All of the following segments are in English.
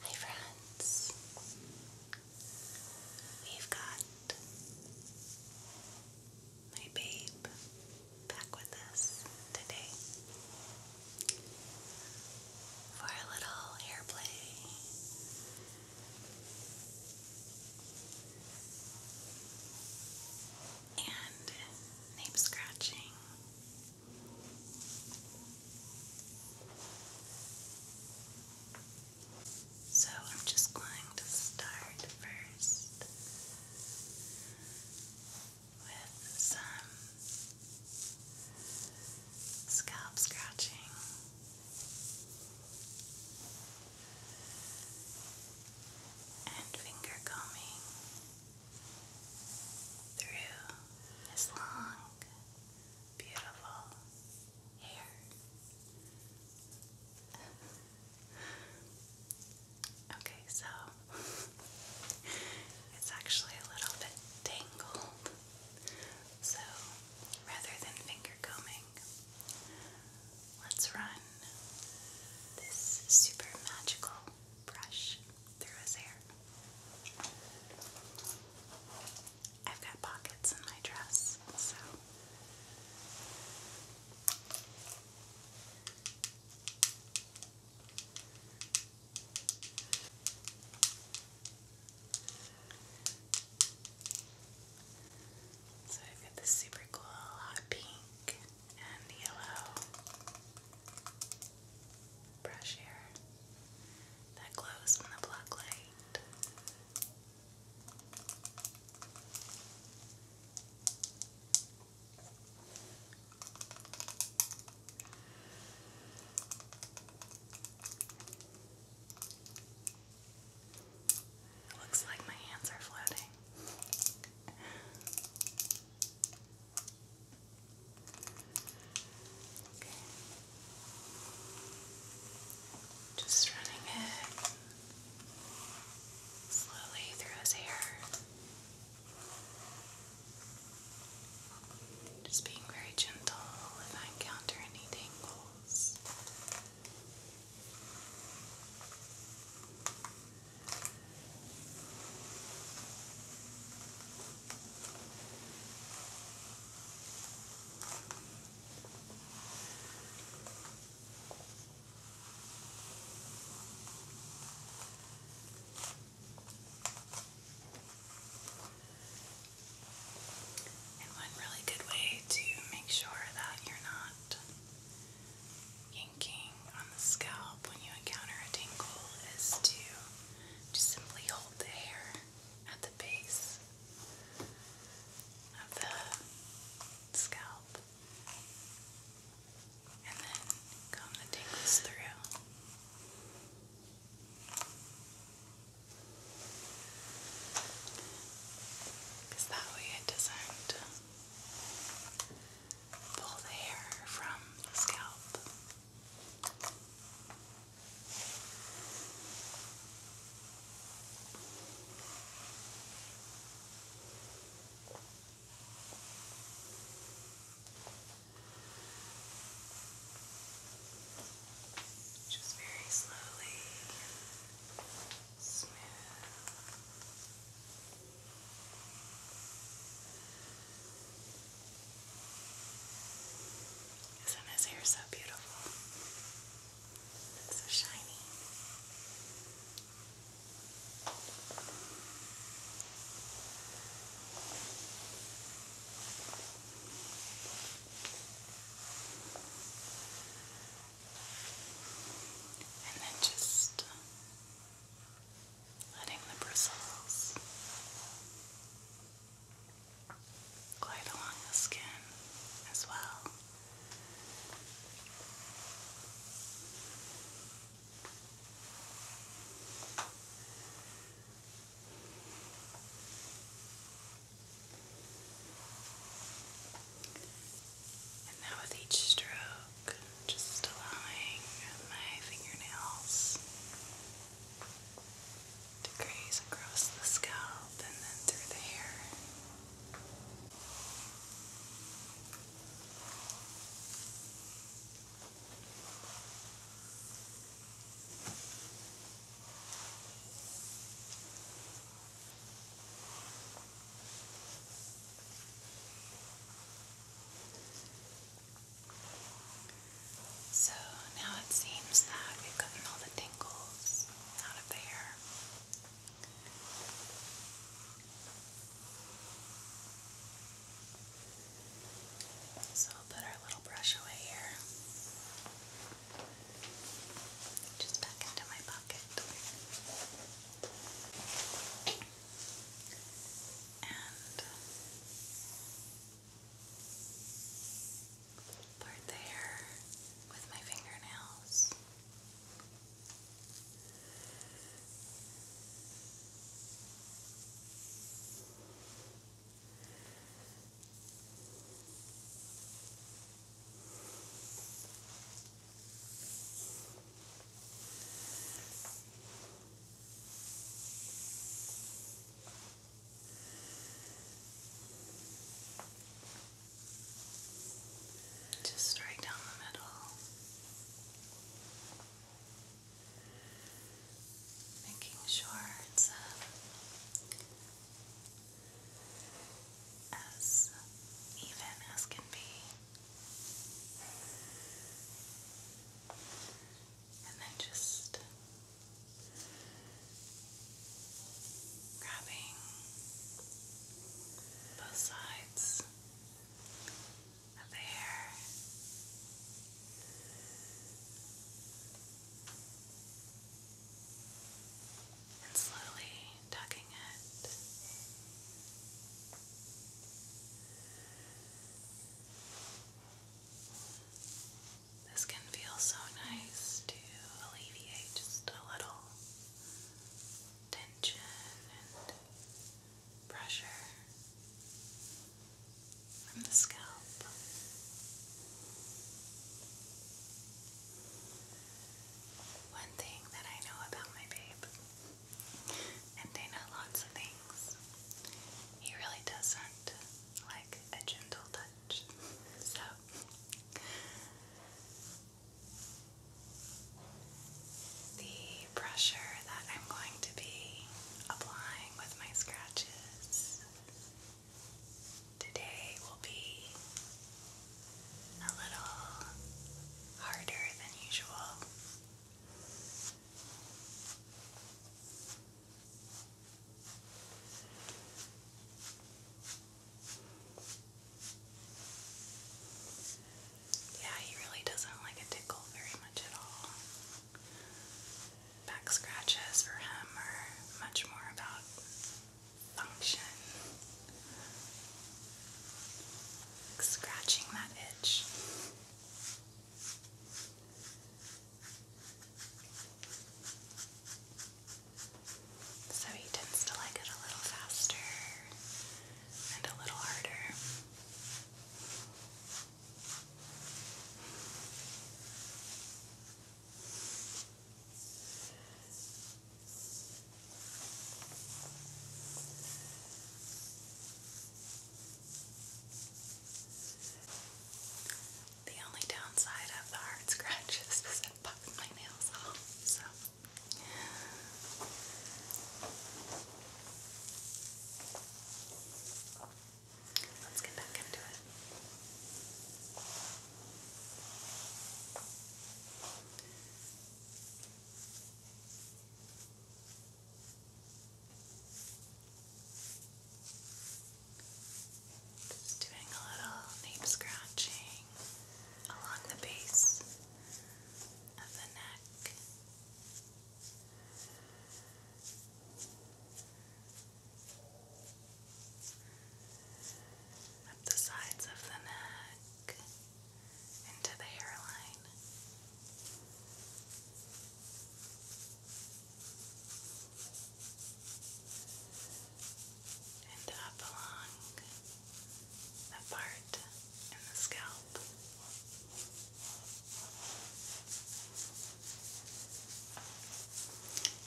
Hi friends, we've got my babe back with us today for a little hair play. And name scratching so I'm just going to start first with some scalp scratching. And finger combing through his long beautiful hair. okay, so it's actually a little bit tangled. So rather than finger combing, let's run this super magical brush through his hair. I've got pockets in my dress, so. So I've got this super cool hot pink and the yellow brush here that glows from the black light. It looks like my hands are floating. Just running it slowly through his hair. Just being very gentle if I encounter any tangles. And one really good way to make sure that you're not on the scalp when you encounter a tingle is to just simply hold the hair at the base of the scalp and then comb the tingles through. Because that way it doesn't pull the hair from the scalp. Just very slowly, smooth. Isn't his hair so beautiful? It's so shiny. And then just letting the bristles glide along the skin as well. And now, with each stroke, stroke, just allowing my fingernails to graze across the scalp and then through the hair. So now it seems that we've gotten all the tingles out of there. So I'll put our little brush away here. Just back into my pocket. And part the hair with my fingernails. Just right down the middle. Making sure it's uh, as even as can be. And then just grabbing both sides of the hair. And slowly tucking it. This can feel so nice to alleviate just a little tension and pressure from the scalp. One thing that I know about my babe and they know lots of things. He really doesn't like a gentle touch. So the pressure that I'm going to be applying with my scratches today will be a little harder than usual. Yeah, he really doesn't like a tickle very much at all. Back scratches for him are much more about function scratching that itch. So he tends to like it a little faster and a little harder. The only downside of the hard scratch is that it bugs my nails off, so. Let's get back into it. Just doing a little nape scratching along the base of the neck up the sides of the neck into the hairline. And up along the part in the scalp.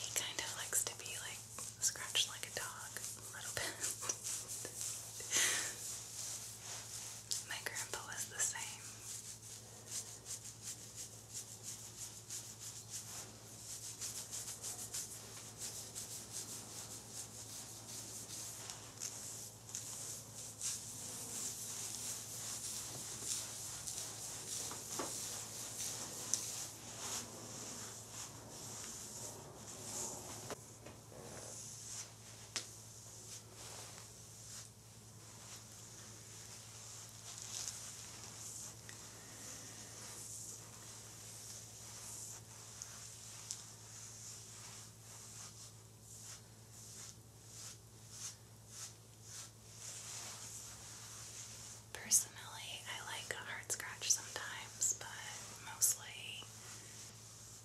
He kind of likes to be like scratch like a dog a little bit. My grandpa was the same. Personally, I like hard scratch sometimes but mostly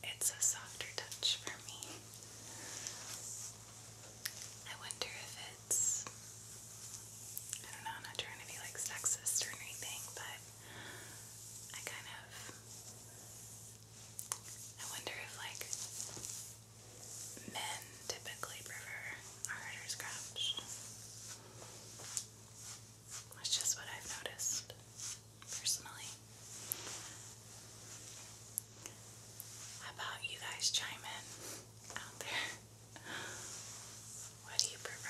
it's a softer touch for me. I wonder if it's. I don't know, I'm not trying to be like sexist or anything, but I kind of. I wonder if like men typically prefer a harder scratch. That's just what I've noticed personally. How about you guys chime in out there? What do you prefer?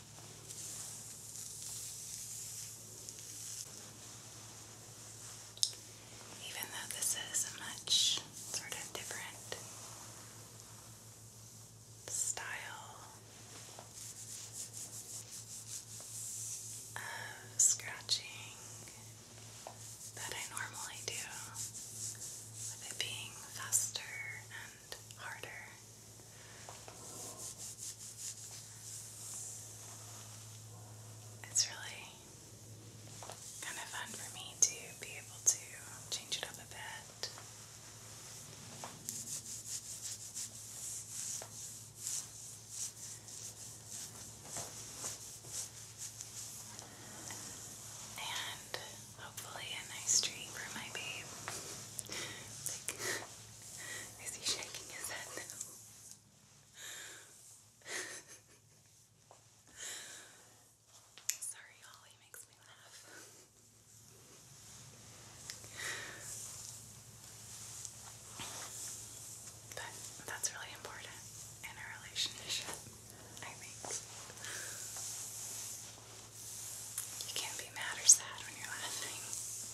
Even though this is a much sort of different style of scratching that I normally do, with it being faster and harder. It's really kind of fun for me to be able to change it up a bit. And hopefully a nice treat for my babe. Is he shaking his head now? Sorry, Ollie makes me laugh. But that's really important in a relationship, I think. You can't be mad or sad when you're laughing.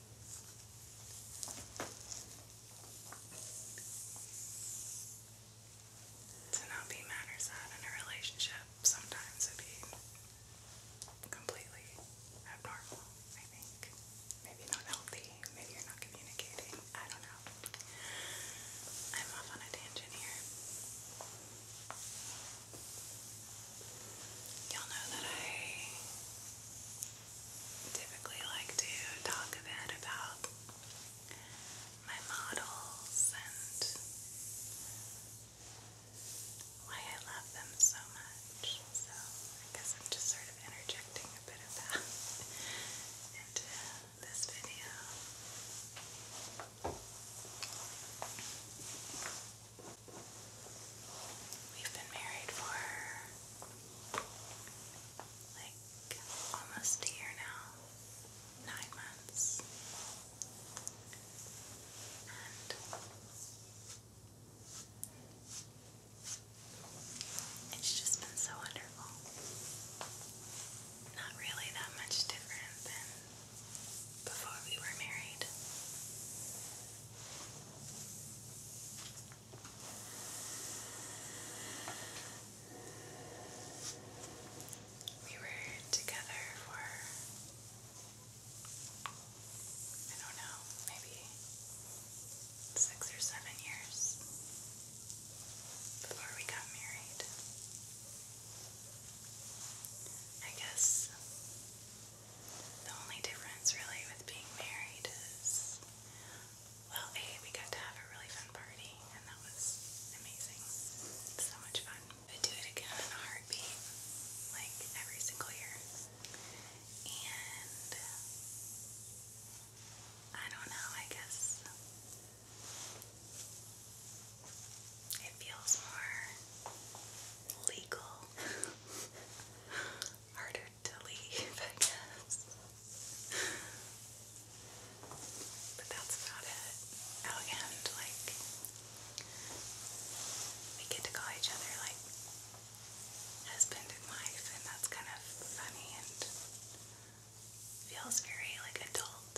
To not be mad or sad in a relationship sometimes would be completely abnormal, I think. Maybe not healthy, maybe you're not communicating, I don't know. I'm off on a tangent here. Y'all know that I typically like to talk a bit about my models and why I love them so much. So I guess I'm just sort of interjecting a bit of that into this video. We've been married for like almost a year now, nine months. it's just been so wonderful. Not really that much different than before we were married. We were together for, I don't know, maybe six or seven years before we got married. I guess the only difference really with being married is well, A, we got to have a really fun party and that was amazing. So much fun. I do it again in a heartbeat, like every single year. And I don't know, I guess it feels more legal, harder to leave, I guess. But that's about it. Oh, and like, we get to call each other like husband and wife, and that's kind of funny and feels very like adult.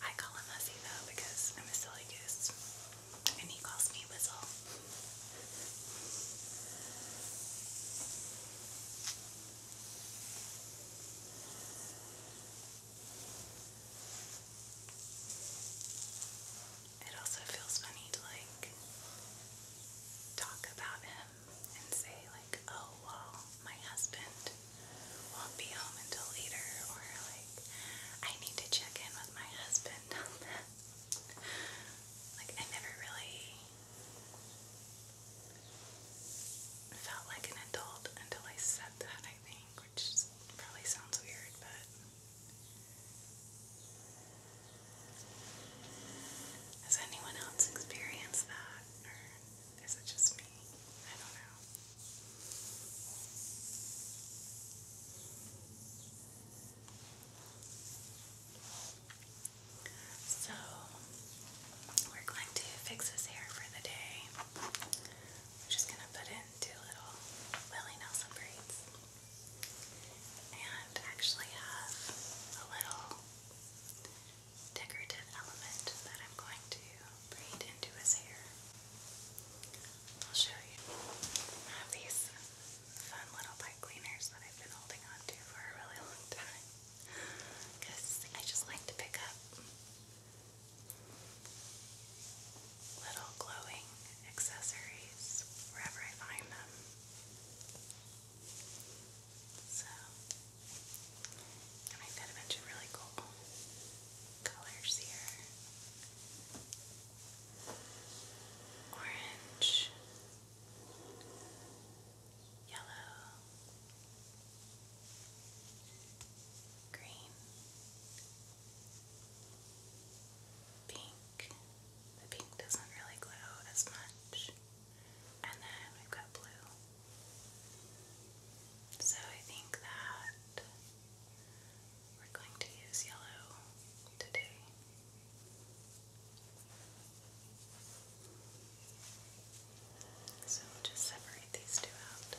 I call him Hussy though because I'm a silly goose and he calls me Whistle. It also feels funny to like talk about him and say like, oh well, my husband won't be home until later or like I need to check in with my husband like, I never really felt like an adult until I said that, I think, which probably sounds weird, but has anyone else experienced that, or is it just me? I don't know. So, we're going to fix his hair for the day. We're just going to put in two little Willie Nelson braids. And actually have a little decorative element that I'm going to braid into his hair. I'll show you. I have these fun little pipe cleaners that I've been holding on to for a really long time I just like to pick up little glowing accessories wherever I find them. So, and I've got a bunch of really cool colors here orange, yellow, green, pink. The pink doesn't really glow as much. And then we've got blue. So I think that we're going to use yellow today. So we'll just separate these two out.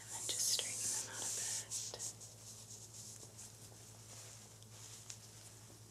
And then just straighten them out a bit.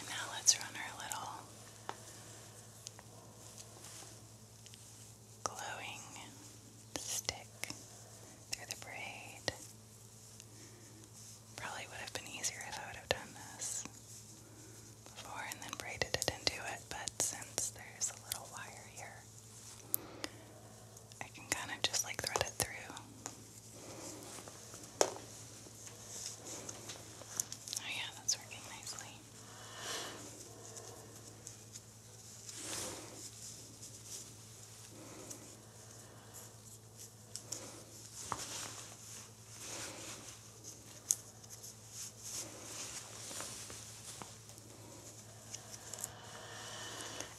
And now let's run our little glowing stick through the braid. Probably would have been easier if I would have done this before and then braided it into it, but since there's a little wire here, I can kind of just like thread it through. Oh, yeah, that's working nicely.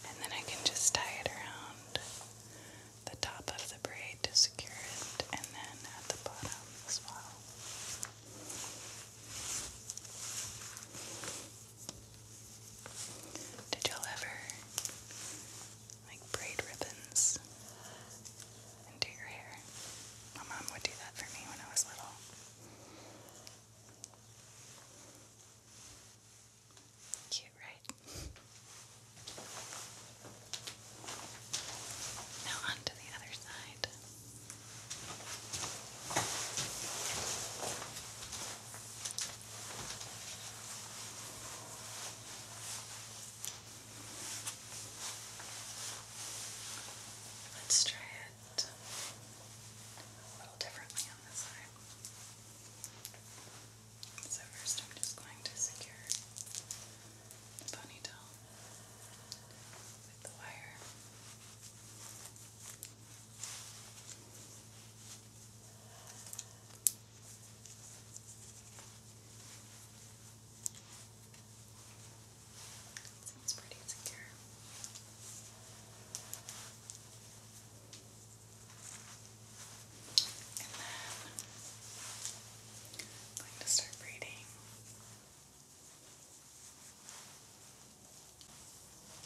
And then I can just tie it around the top of the braid to secure it, and then at the bottom as well. Did y'all ever like braid ribbons into your hair. My mom would do that for me when I was little. Cute, right? Now on the other side. Let's try it a little differently on this side. So first I'm just going to secure the ponytail with the wire. Seems pretty secure. I'm going to start reading.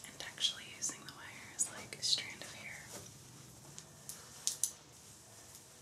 And actually using the wire as like a strand of hair.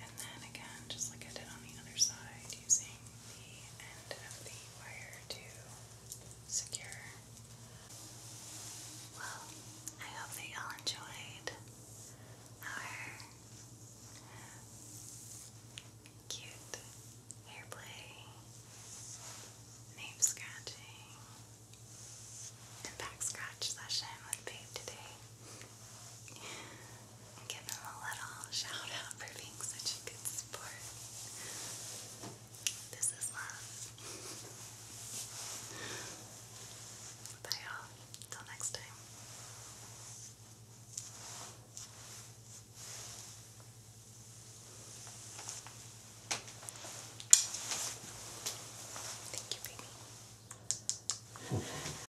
And then again, just like I did on the other side, using the end of the wire to secure. Well, I hope that y'all enjoyed our cute hair play, nape scratching, and back scratch session with Babe today. Give him a little shout out for being such a good sport. This is love. Bye all Till next time. Thank you, baby.